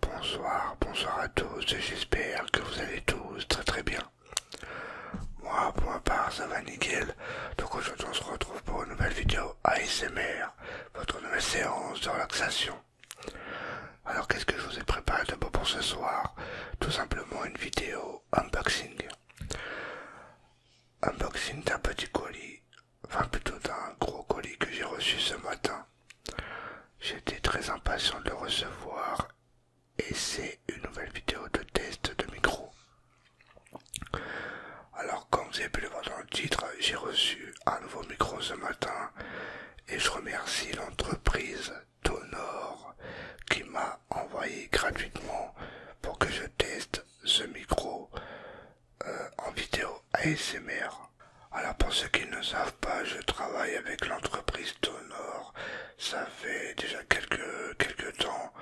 Bonsoir, bonsoir à tous, j'espère que vous allez tous très très bien. Moi pour ma part ça va nickel, donc aujourd'hui on se retrouve pour une nouvelle vidéo ASMR, votre nouvelle séance de relaxation. Alors qu'est-ce que je vous ai préparé de pour ce soir Tout simplement une vidéo unboxing. Unboxing d'un petit colis, enfin plutôt d'un gros colis que j'ai reçu ce matin. J'étais très impatient de le recevoir et c'est une nouvelle vidéo de test de micro. Alors comme vous avez pu le voir dans le titre, j'ai reçu un nouveau micro ce matin et je remercie l'entreprise Tonor qui m'a envoyé gratuitement pour que je teste ce micro euh, en vidéo ASMR. Alors pour ceux qui ne savent pas, je travaille avec l'entreprise Tonor. Ça fait déjà quelques, temps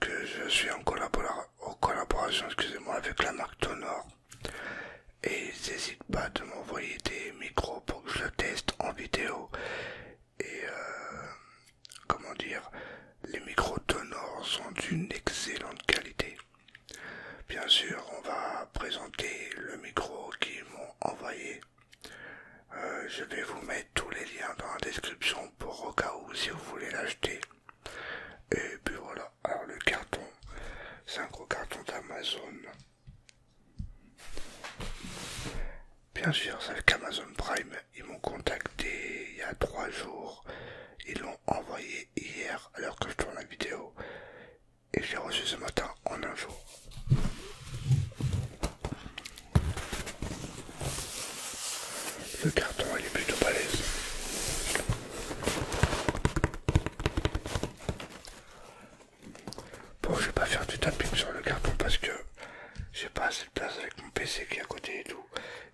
que je suis en, collaboration avec la marque Tonor. Et ils n'hésitent pas de m'envoyer des micros pour que je le teste en vidéo. Et euh, comment dire, les micros Tonor sont d'une excellente qualité. Bien sûr, on va présenter le micro qu'ils m'ont envoyé. Euh, je vais vous mettre tous les liens dans la description pour au cas où si vous voulez l'acheter. Et puis voilà, alors le carton, c'est un gros carton d'Amazon. Bien sûr, c'est avec Amazon Prime. Ils m'ont contacté il y a trois jours. Ils l'ont envoyé hier alors que je tourne la vidéo et je l'ai reçu ce matin en un jour. Le carton il est plutôt balèze. Bon je vais pas faire du tapping sur le carton parce que j'ai pas assez de place avec mon PC qui est à côté et tout.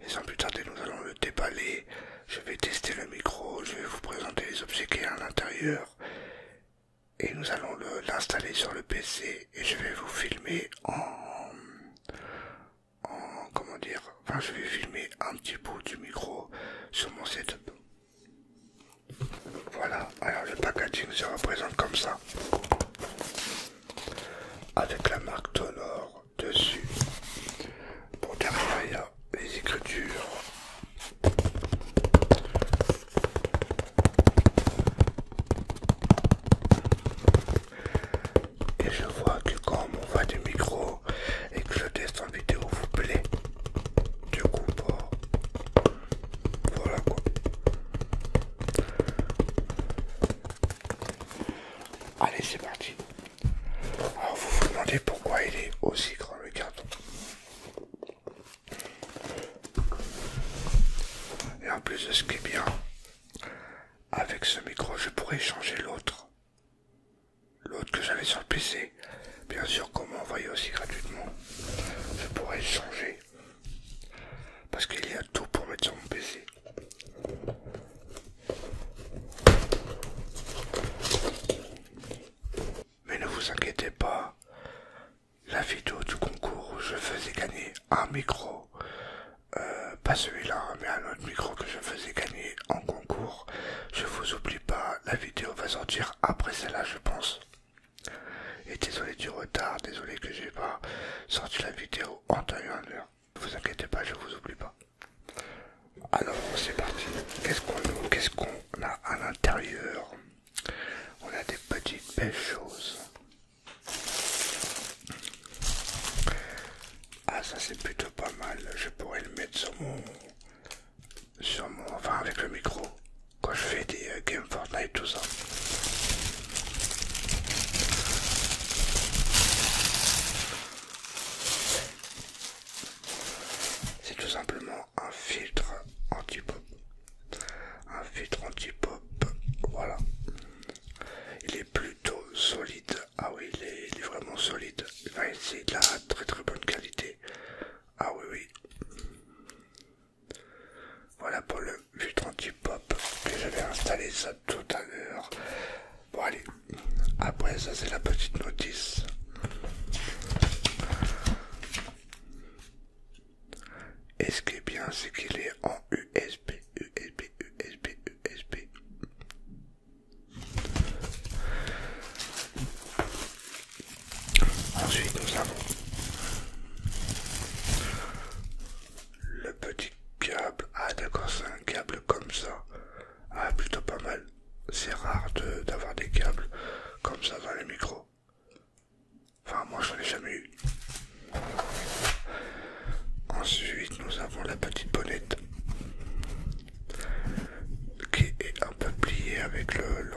Et sans plus tarder nous allons le déballer. Je vais tester le micro, je vais vous présenter les objets a à l'intérieur et nous allons l'installer sur le PC et je vais vous filmer en, en comment dire enfin je vais filmer un petit bout du micro sur mon setup voilà alors le packaging se représente comme ça avec la marque Tonor dessus pour derrière les écritures. Et je vois que quand on va du micro et que je teste en vidéo vous plaît. Du coup, voilà quoi. Allez, c'est parti. Alors vous vous demandez pourquoi il est aussi grand le carton. Et en plus de ce qui est bien, avec ce micro, je pourrais changer l'autre. L'autre que j'avais sur le PC. Bien sûr qu'on m'envoyait aussi gratuitement. Je pourrais changer. Parce qu'il y a tout pour mettre sur mon PC. Mais ne vous inquiétez pas, la vidéo du concours où je faisais gagner un micro, euh, pas celui-là, hein, mais un autre micro que je faisais gagner en concours, je vous oublie pas, la vidéo va sortir après celle-là, je pense. Et désolé du retard, désolé que je n'ai pas sorti la vidéo en taille en heure. Ne vous inquiétez pas, je vous oublie pas. Alors c'est parti. Qu'est-ce qu'on qu'est-ce qu'on a à l'intérieur On a des petites belles choses. Ah ça c'est plutôt pas mal. Je pourrais le mettre sur mon sur mon enfin avec le micro quand je fais des euh, Game games Fortnite tout ça. C'est tout simplement un filtre anti-pop. Un filtre anti-pop, voilà. Il est plutôt solide. Ah oui, il est, vraiment solide. il c'est de très très bonne qualité. Ah oui, oui. Voilà pour le filtre anti-pop que j'avais installé ça tout à l'heure. Bon allez, après ça c'est la petite notice. Et ce qui est bien, c'est qu'il est en USB, USB, USB, USB. Ensuite, nous avons le petit câble. Ah, d'accord, c'est un câble comme ça. Ah, plutôt pas mal c'est rare d'avoir des câbles comme ça dans les micros. Enfin, moi, je n'en ai jamais eu. Ensuite, nous avons la petite bonnette qui est un peu pliée avec le, le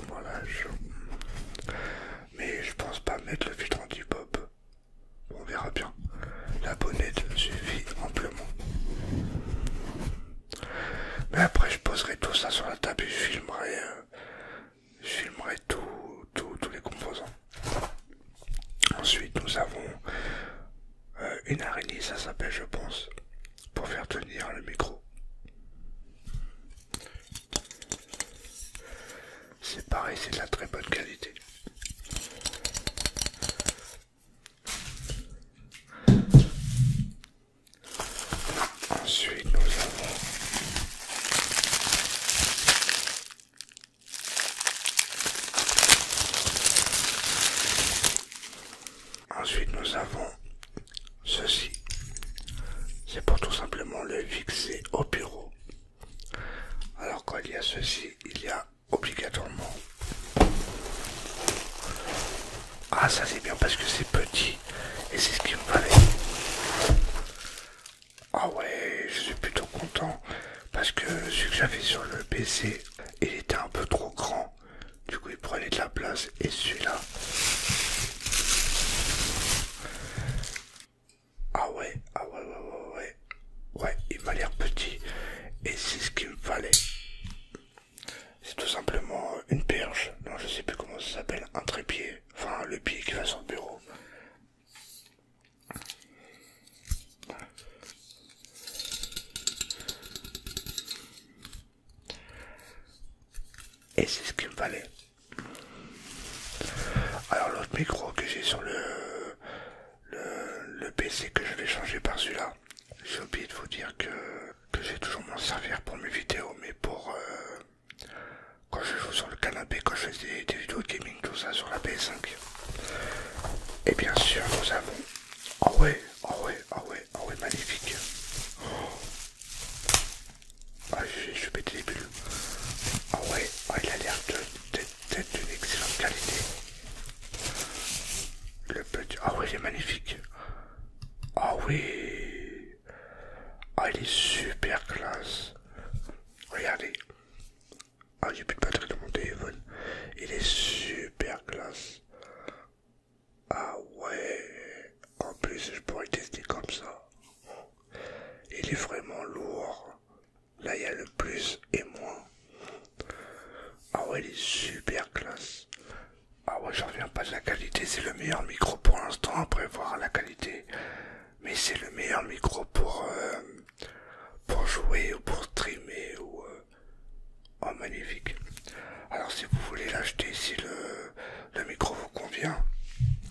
Mais je pense pas mettre le filtre anti-pop. On verra bien. La bonnette suffit amplement. Mais après, je poserai tout ça sur la table et je filmerai, euh, filmerai tous les composants. Ensuite, nous avons euh, une araignée, ça s'appelle, je pense, pour faire tenir le micro. C'est pareil, c'est de la très bonne qualité. Ensuite, nous avons Ensuite, nous avons ceci. C'est pour tout simplement le fixer au bureau. Alors quand il y a ceci, il y a obligatoirement ah ça c'est bien parce que c'est petit et c'est ce qu'il me fallait. Ah ouais, je suis plutôt content parce que celui que j'avais sur le PC, il était un peu trop grand. Du coup il prenait de la place et celui-là. Ah ouais, ah ouais, ouais, ouais, ouais. Ouais, il m'a l'air petit. Et c'est ce qu'il me fallait. C'est tout simplement une perche. Non, je sais plus comment ça s'appelle. Un trépied. Enfin, le pied qui va sur le bureau. Et c'est ce qu'il me fallait. Alors l'autre micro que j'ai sur le, le, le PC que je vais changer par celui-là, j'ai oublié de vous dire que que j'ai toujours m'en servir pour mes vidéos, mais pour euh, quand je joue sur le canapé, quand je fais des, vidéos de gaming, tout ça sur la PS5. Et bien sûr, nous avons. Oh ouais, oh ouais, oh ouais, oh ouais, magnifique. Oh. Ah, je suis pété les bulles. Ah oh ouais, il a l'air d'être d'une excellente qualité. Le petit. Ah oh ouais, il est magnifique. Ah oh oui. Ah, il est super classe. Regardez. Ah, j'ai plus de batterie dans mon téléphone. Il est super classe. Ah ouais. En plus, je pourrais tester comme ça. Il est vraiment lourd. Là, il y a le plus et moins. Ah ouais, il est super classe. Ah ouais, j'en reviens pas de la qualité, c'est le meilleur micro pour l'instant, après voir la qualité. Mais c'est le meilleur micro pour, euh, jouer ou pour streamer ou... Euh, oh magnifique. Alors si vous voulez l'acheter, si le, le micro vous convient,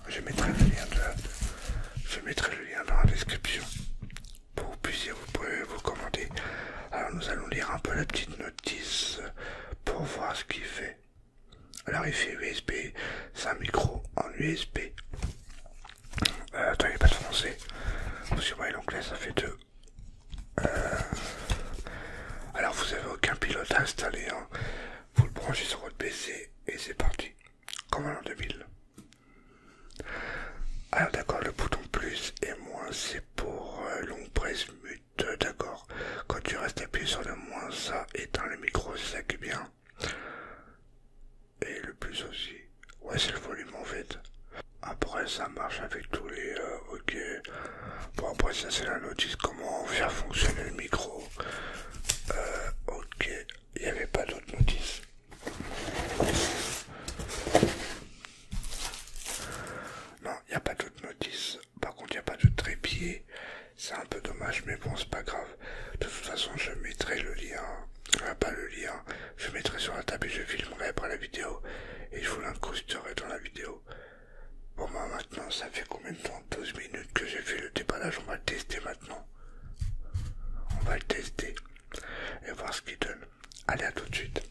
je mettrai le lien, dans la description pour vous puissiez vous pouvez vous commander. Alors nous allons lire un peu la petite notice pour voir ce qu'il fait. Alors il fait USB, c'est un micro en USB. Euh, attends, il n'y pas de français. Vous que ça fait deux. Euh, alors vous n'avez aucun pilote installé. Hein. Vous le branchez sur votre PC et c'est parti. Comme en 2000. Alors ah, d'accord, le bouton plus et moins, c'est pour long euh, longue presse d'accord. Quand tu restes appuyé sur le moins, ça éteint le micro, c'est ça qui est bien. Et le plus aussi. Ouais, c'est le volume en fait. Après, ça marche avec tous les. Euh, ok. Bon, après, ça c'est la notice. Comment faire fonctionner le micro euh, Ok. Il n'y avait pas d'autre notice. Non, il n'y a pas d'autre notice. Par contre, il n'y a pas de trépied. C'est un peu dommage, mais bon, c'est pas grave. De toute façon, je mettrai le lien. Enfin, pas le lien. Je mettrai sur la table et je filmerai après la vidéo. Et je vous l'incrusterai dans la vidéo. Bon, bah, maintenant, ça fait combien de temps 12 minutes que j'ai fait le déballage. On va le tester maintenant. On va le tester. Et voir ce qu'il donne. Allez, à tout de suite.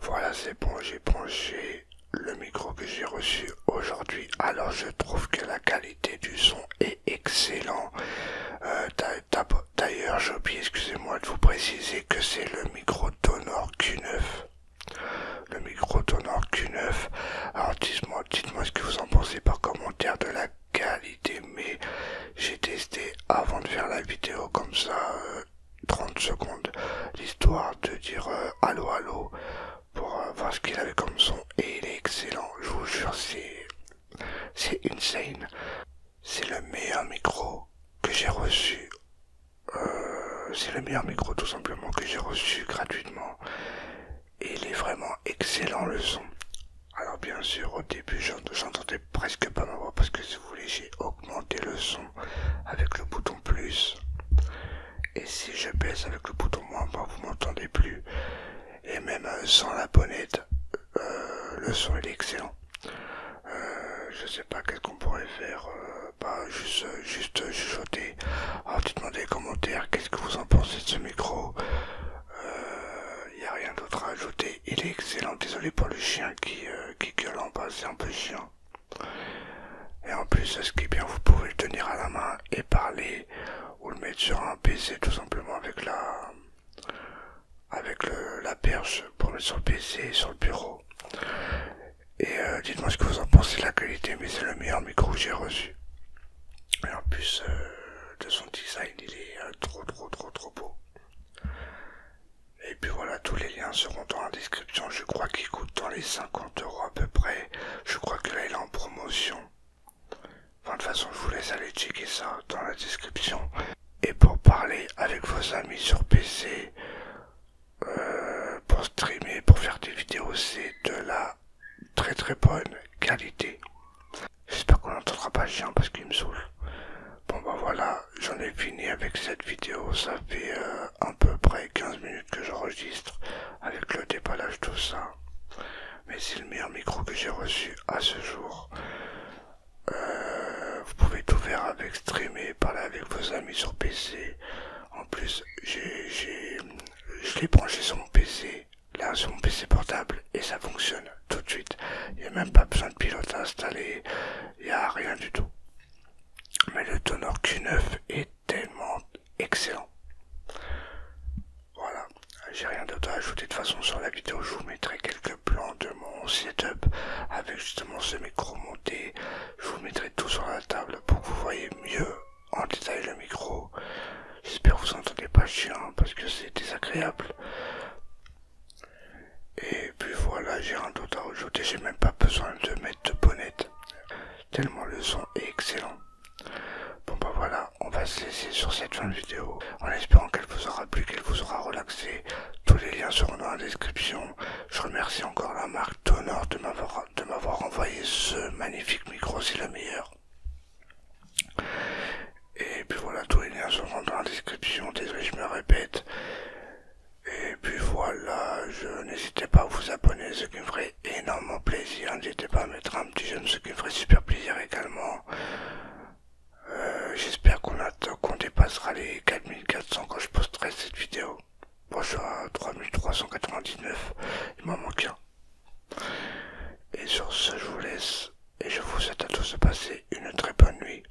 Voilà, c'est bon, j'ai branché le micro que j'ai reçu aujourd'hui. Alors, je trouve que la qualité du son est excellente. Euh, d'ailleurs, j'ai oublié, excusez-moi de vous préciser que c'est le micro Tonor Q9. Le micro Tonor Q9. Alors, dites-moi ce que vous en pensez par commentaire de la qualité, mais j'ai testé avant de faire la vidéo comme ça. Euh, 30 secondes l'histoire de dire euh, allô allô pour euh, voir ce qu'il avait comme son et il est excellent je vous jure c'est c'est insane c'est le meilleur micro que j'ai reçu euh, c'est le meilleur micro tout simplement que j'ai reçu gratuitement et il est vraiment excellent le son alors bien sûr au début j'entendais presque pas ma voix parce que si vous voulez j'ai augmenté le son avec le bouton plus. Et si je baisse avec le bouton moins, ben, vous m'entendez plus. Et même sans la bonnette, euh, le son est excellent. Euh, je sais pas qu'est-ce qu'on pourrait faire, euh, bah, juste, juste chuchoter. en oh, dites commentaires qu'est-ce que vous en pensez de ce micro. Il n'y a rien d'autre à ajouter. Il est excellent. Désolé pour le chien qui, qui gueule en bas, c'est un peu chiant. Et en plus, ce qui bien, vous pouvez le tenir à la main et parler ou le mettre sur un PC tout simplement avec la avec la perche pour le mettre sur le PC et sur le bureau. Et euh, dites-moi ce que vous en pensez de la qualité, mais c'est le meilleur micro que j'ai reçu. Et en plus euh, de son design, il est euh, trop trop trop trop beau. Et puis voilà, tous les liens seront dans la description. Je crois qu'il coûte dans les 50 euros à peu près. Je crois que là, il est en promotion. Enfin, de toute façon, je vous laisse aller checker ça dans la description. Et pour parler avec vos amis sur PC, euh, pour streamer, pour faire des vidéos, c'est de la très très bonne qualité. J'espère qu'on n'entendra pas le chien parce qu'il me saoule. Bon bah voilà, j'en ai fini avec cette vidéo. Ça fait un euh, peu près 15 minutes que j'enregistre avec le déballage, tout ça. Mais c'est le meilleur micro que j'ai reçu à ce jour. Euh, vous pouvez tout faire avec streamer, parler avec vos amis sur PC. En plus, j'ai je l'ai branché sur mon PC, là sur mon PC portable, et ça fonctionne tout de suite. Il n'y a même pas besoin de pilote à installer, il n'y a rien du tout mais le toner Q9 est tellement excellent. Voilà, j'ai rien d'autre à ajouter. De façon, sur la vidéo, je vous mettrai quelques plans de mon setup avec justement ce micro monté. Je vous mettrai tout sur la table pour que vous voyez mieux en détail le micro. J'espère que vous entendez pas chien parce que c'est désagréable. Et puis voilà, j'ai un doute à rajouter, j'ai même pas besoin de mettre de bonnet. Tellement le son est excellent. Bon bah voilà, on va se laisser sur cette fin de vidéo en espérant qu'elle vous aura plu, qu'elle vous aura relaxé. Tous les liens seront dans la description. Je remercie encore la marque Tonor de m'avoir envoyé ce magnifique micro, c'est le meilleur. Et puis voilà, tous les liens seront dans la description, désolé je me répète. Et puis voilà, je n'hésitez pas à vous abonner, ce qui me ferait énormément plaisir. N'hésitez pas à mettre un petit j'aime, ce qui me ferait super plaisir également. Euh, j'espère qu'on qu'on dépassera les 4400 quand je posterai cette vidéo. Bon, à 3399, il m'en manque un. Et sur ce, je vous laisse et je vous souhaite à tous de passer une très bonne nuit.